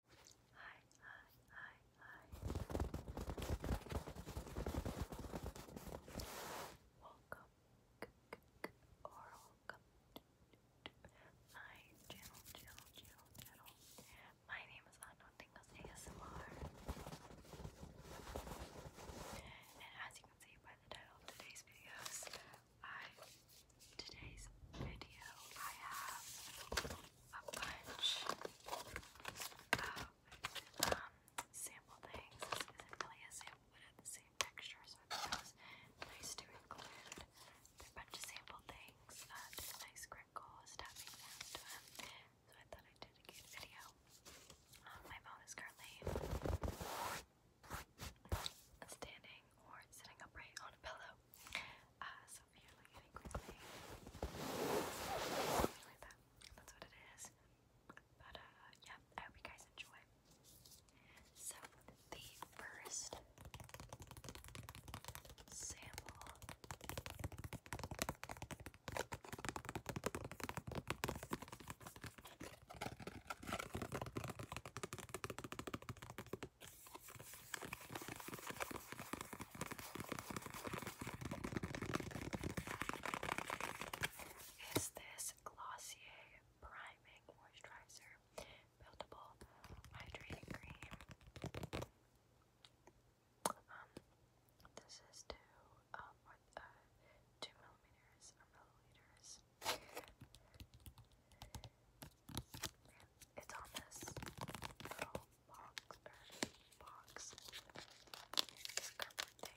Hi, hi, hi, hi. Welcome to my channel, channel, channel, channel. My name is Anotingas ASMR. And as you can see by the title of today's videos, I today's video I have a bunch of um, sample things. This really a sample, but it the same texture, so I thought nice to include. a bunch of sample things, uh, just nice crinkles, tapping sound to them. So I thought I'd dedicate a video. my mom is currently standing or sitting upright on a pillow. Uh, myself like that. That's what it is. But uh yeah, I hope you guys enjoy. So the first sample is this Glossier Priming Moisturizer Buildable Hydrating Cream. Um, this is two, um, uh, two millimeters or milliliters. It's on this little box box this covered thing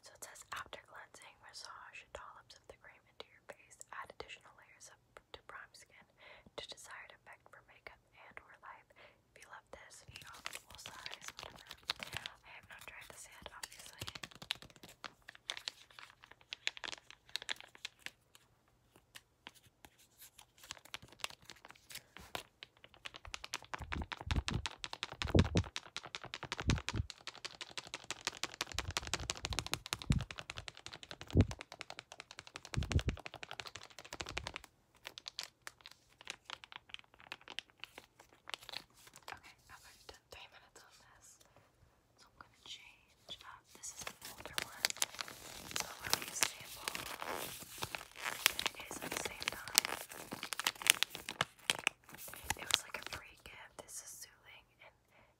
So it says after cleansing, massage dollops of the cream into your face, add additional layers of, to prime skin to desired effect for makeup and or life. If you love this video, full size, I have not tried this yet, obviously. Okay, I've already three minutes on this. So I'm gonna change This is an older one. So I'll really sample. It is at the same time. It was like a free gift. This is soothing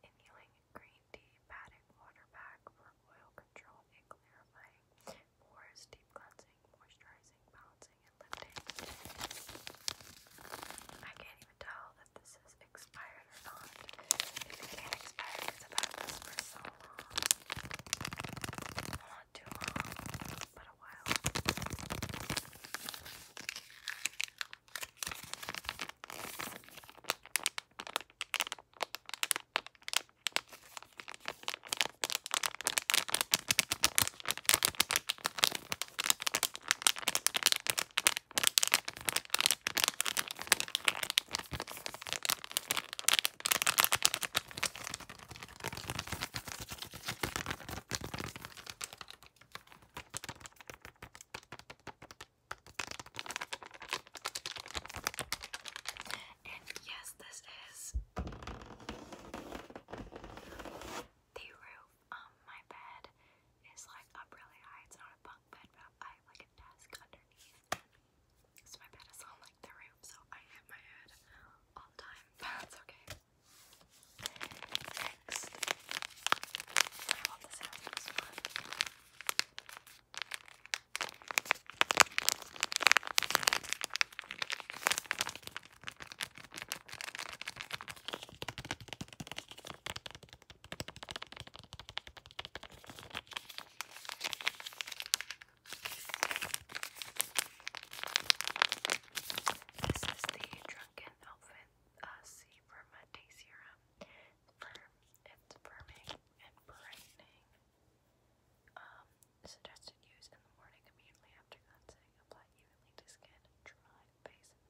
and healing green tea, padding water pack for oil control and clarifying pores, deep cleansing moisturizing, moisturizing, balancing, and lifting. I can't even tell that this is expired or not. it can't expire, because i for so long. not too long, but a while. And yes, this is the roof on my bed is like up really high. It's not a bunk bed, but I have like a desk underneath. So my bed is on like the roof, so I hit my head all the time, but that's okay. Next, I love the sound one. This is the Drunken Elephant uh, Sea Verma Day Serum. Firm, it's firming and brightening. Um, Suggested use in the morning immediately after cleansing. Apply evenly to skin, dry, face,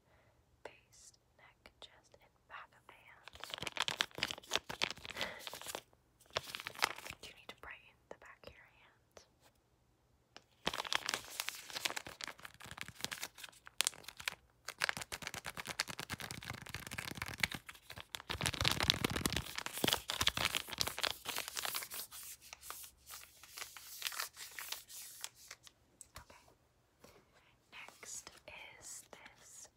face, neck, chest, and back of the hands. you need to brighten the back of your hands? Okay. Next is this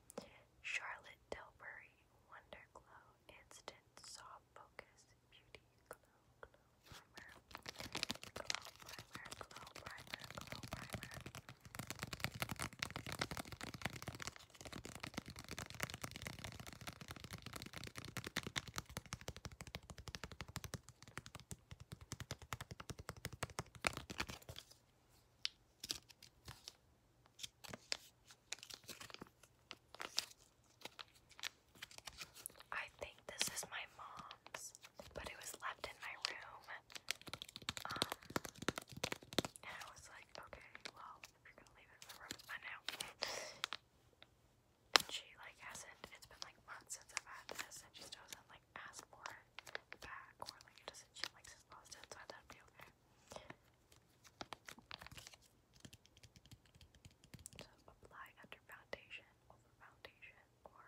Charlotte Tilbury Wonder Glow Instant Soft Focus Beauty Glow Primer. I think this is my mom's, but it was left in my room. Um, and I was like, okay, well, if you're gonna leave it in the room, I know she like hasn't it's been like months since I've had this and she doesn't like ask for it back or like doesn't she likes it I thought it'd So apply under foundation over foundation or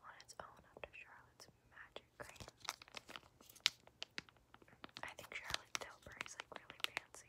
on its own under Charlotte's magic cream. I think Charlotte Tilbury's like really fancy,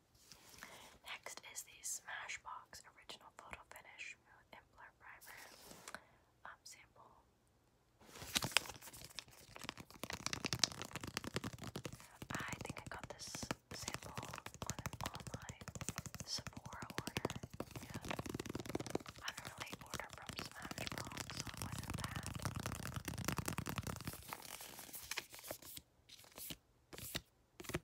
Next is the Smashbox Original Photo Finish Smooth and Blur Primer um, sample. I think I got this sample on an Sephora order. I don't really order from Smashbox, so it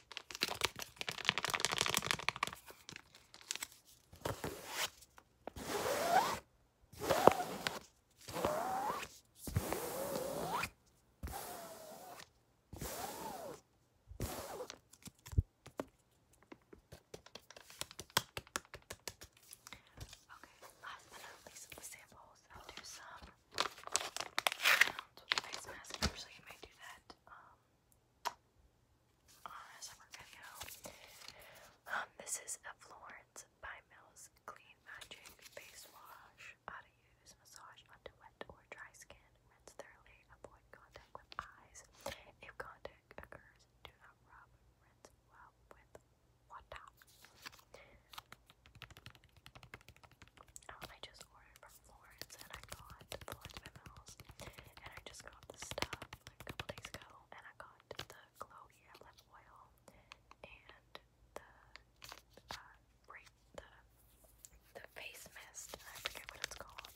last but not least of the samples, I'll do some sounds um, with a face mask. Usually I may do that um, uh, on a um, this is a Florence by Mills Clean Magic Face Wash. How to use, massage onto wet or dry skin. Rinse thoroughly. Avoid contact with eyes. If contact occurs, do not rub. Rinse well with water. Oh, I just ordered from Florence and I got Florence Memos and I just got this stuff a couple days ago and I got the glowy lip oil and the uh the the face mist I forget what it's called.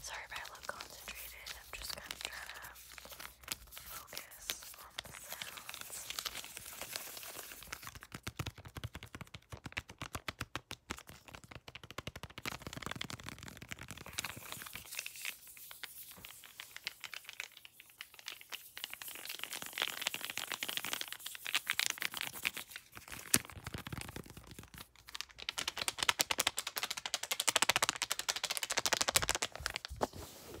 Sorry if I look concentrated, I'm just kind of trying to focus on the sounds. Okay,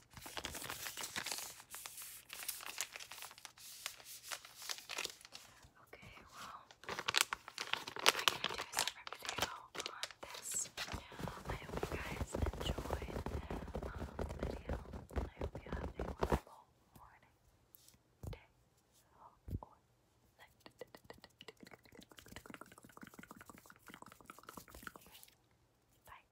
Okay, well, I'm gonna do a separate video on this. I hope you guys enjoyed um, the video, I hope you have a wonderful morning, day, or night. Bye.